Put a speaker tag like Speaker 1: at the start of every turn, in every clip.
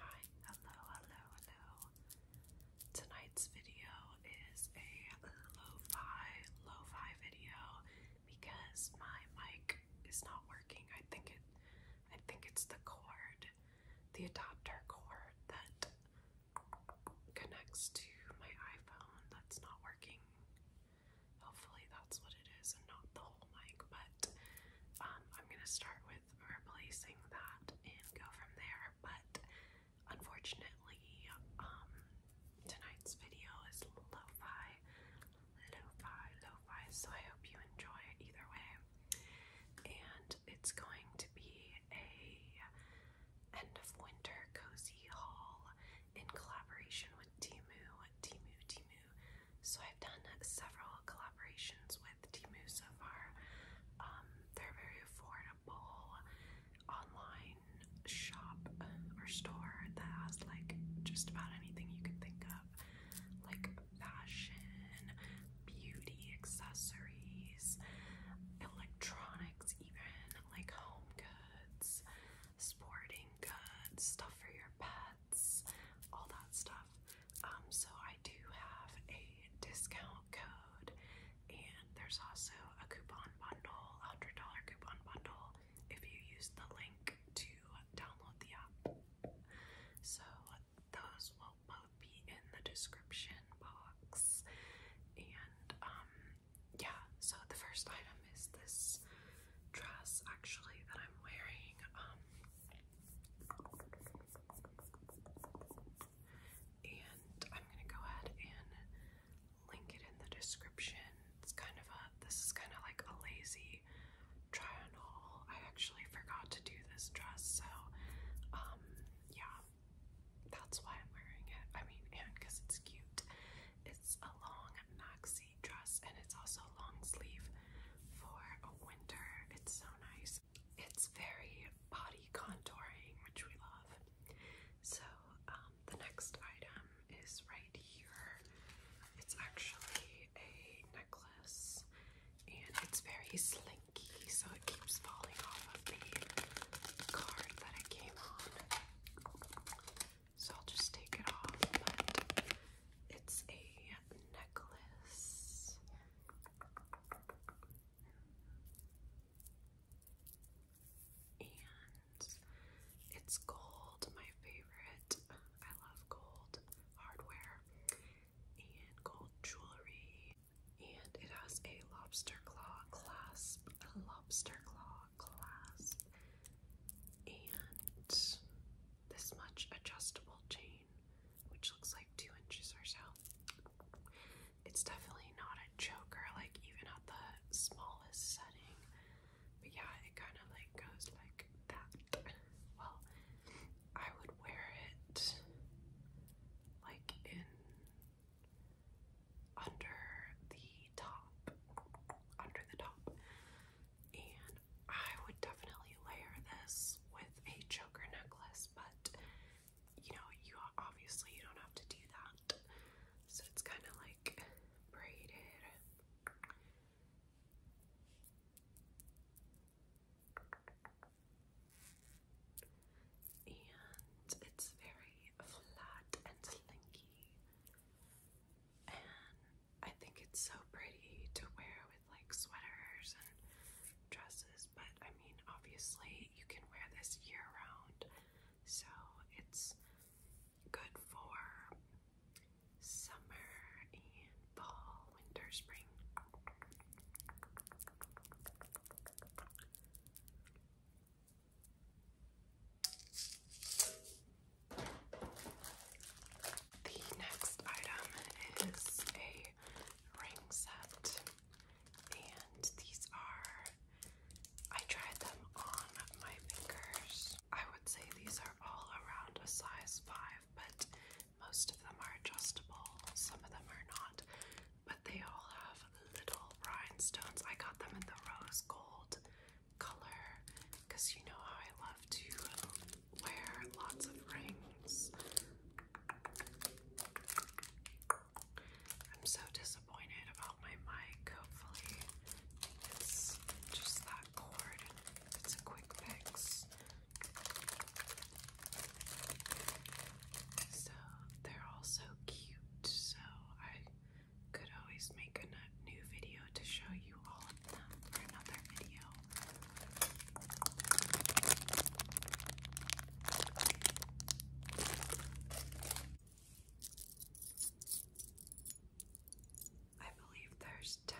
Speaker 1: Hi, hello, hello, hello. Tonight's video is a lo-fi, lo-fi video because my mic is not working. I think it I think it's the cord, the adapter cord that connects to my iPhone that's not working. Hopefully that's what it is and not the whole like, but um, I'm gonna start with replacing that and go from there. But unfortunately, um, tonight's video is lo-fi, lo So I hope you enjoy it either way. And it's going to be a end of winter cozy haul in collaboration with Timu, Timu, Timu. So I've done several collaborations with Timu so far. Um, they're very affordable online shop or store that has like just about anything you can think of, like fashion, beauty accessories, electronics, even like home goods, sporting goods, stuff for your pets, all that stuff. Um, so I do have a discount code, and there's also a coupon bundle, $100 coupon bundle, if you use the link to download the app. So those will both be in the description box. And um, yeah, so the first item is this dress actually that I'm wearing. Um, and I'm gonna go ahead and link it in the description. It's kind of a this is kind of like a lazy try on haul. I actually forgot to do this dress, so um yeah, that's why I'm wearing it. I mean, and because it's cute. It's a long denim dress, and it's also long sleeve for a winter. It's so nice. It's very body contouring, which we love. So um, the next item is right here. It's actually a necklace, and it's very slinky, so it keeps falling off of the card that it came on. So I'll just take it off. But it's a necklace. And it's gold, my favorite. I love gold hardware and gold jewelry. And it has a lobster claw clasp, a lobster claw clasp and this much adjustable chain, which looks like two inches or so. It's definitely not a choker, like even at the smallest setting. But yeah, it kind of like goes like that. Well, I would wear it like in under the top, under the top. And I would definitely layer this with a choker necklace, but you know, you obviously you don't have to do that. So it's kind of like braided. And it's very flat and slinky. And I think it's so pretty to wear with like sweaters and dresses, but I mean, obviously, you can wear this year round, so it's good for summer and fall, winter, spring. The next item is a ring set, and these are, I tried them on my fingers. I would say these are all around a size 5, but most of them are adjustable, some of them are not, but they all have little rhinestones. I got them in the rose gold color because you know how I love to wear lots of rings. I'm so disappointed about my mic. Hopefully, it's just that cord. It's a quick fix. So, they're all so cute. So, I could always make a new video to show you all of them for another video. I believe there's 10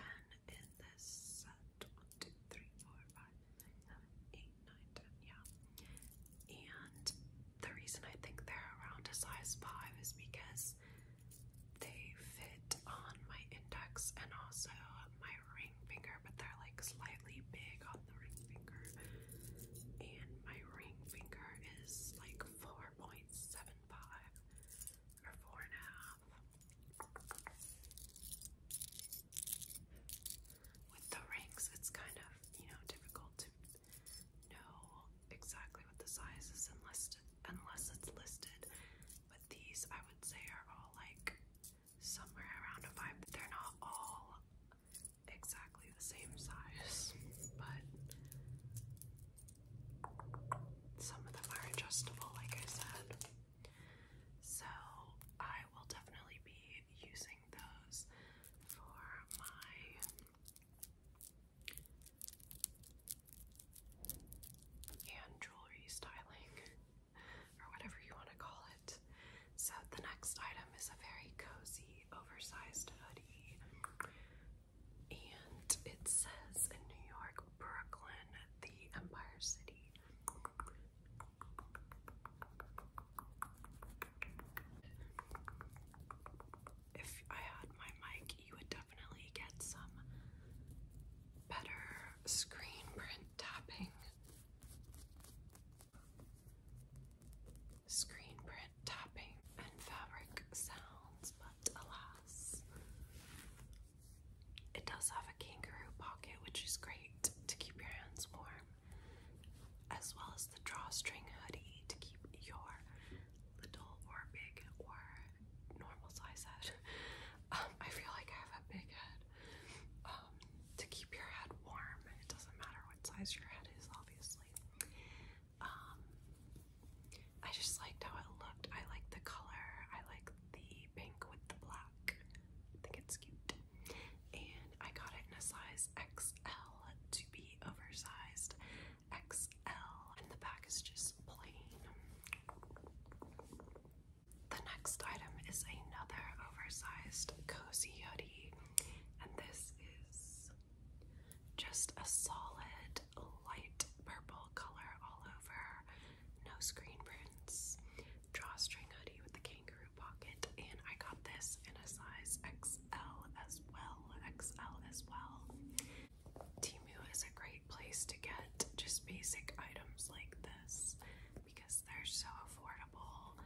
Speaker 1: in this set. 1, yeah. And the reason I think they're around a size 5 is because they fit on my index and also my ring finger, but they're like slightly big on the ring finger. And my ring finger is like 4.75 or 4.5. With the rings, it's kind of, you know, difficult to know exactly what the size is unless, unless it's listed. But these, I would say, are all like somewhere around a five. They're not all exactly the same size, but some of them are adjustable, like I said. So I will definitely be using those for my and jewelry styling, or whatever you want to call it. So, the next item is a very cozy, oversized hoodie, and it says in New York, Brooklyn, the Empire City if I had my mic, you would definitely get some better screen print tapping. Screen print tapping and fabric sounds, but alas, it does have a kangaroo pocket, which is great to keep your hands warm as well as the drawstring hoodie to keep your little or big or normal size head. Um, I feel like I have a big head. Um, to keep your head warm. It doesn't matter what size your head is, obviously. Um, I just liked how it looked. I liked the color. I like the pink with the black. I think it's cute. And I got it in a size XL to be oversized XL, and the back is just plain. The next item is another oversized cozy hoodie, and this is just a solid light purple color all over, no screen prints, drawstring hoodie with the kangaroo pocket, and I got this in a size X. XL as well. XL as well. Timu is a great place to get just basic items like this because they're so affordable.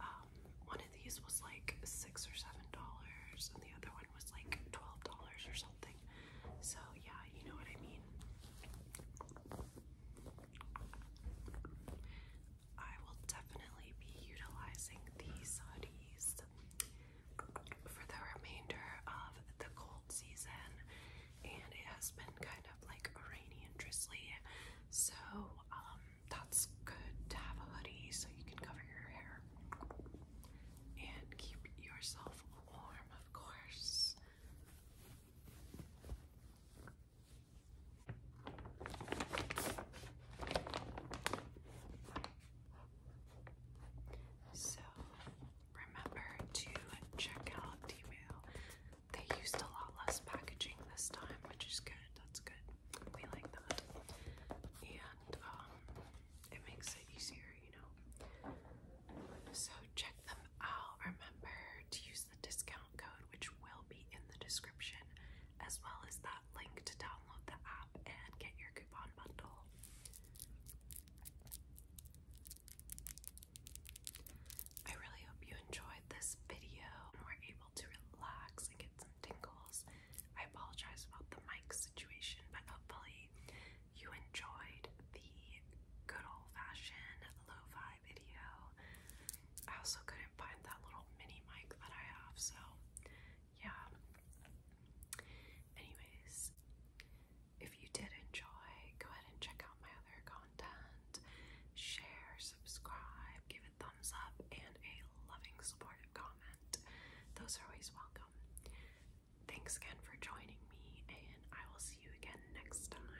Speaker 1: Um, one of these was like six or seven dollars, and the other one was like twelve dollars or something. So, yeah, you know what I mean. I will definitely be utilizing these hoodies for the remainder of the cold season, and it has been kind of like rainy and drizzly, so um, that's good to have a hoodie so you can cover your hair and keep yourself warm, of course. So remember to check out d They used a lot less packaging this time, which is good. That's good. We like that. And um, it makes it easier, you know. So check them out. Remember to use the discount code, which will be in the description, as well as that link to download the app and get your coupon bundle. I really hope you enjoyed this video and were able to relax and get some tingles. I apologize about the mic situation, but hopefully you enjoyed the good old fashioned lo fi video. I also couldn't find that little mini mic that I have, so yeah. Anyways, if you did enjoy, go ahead and check out my other content. Share, subscribe, give a thumbs up, and a loving, supportive comment. Those are always welcome. Thanks again for joining me, and I will see you again next time.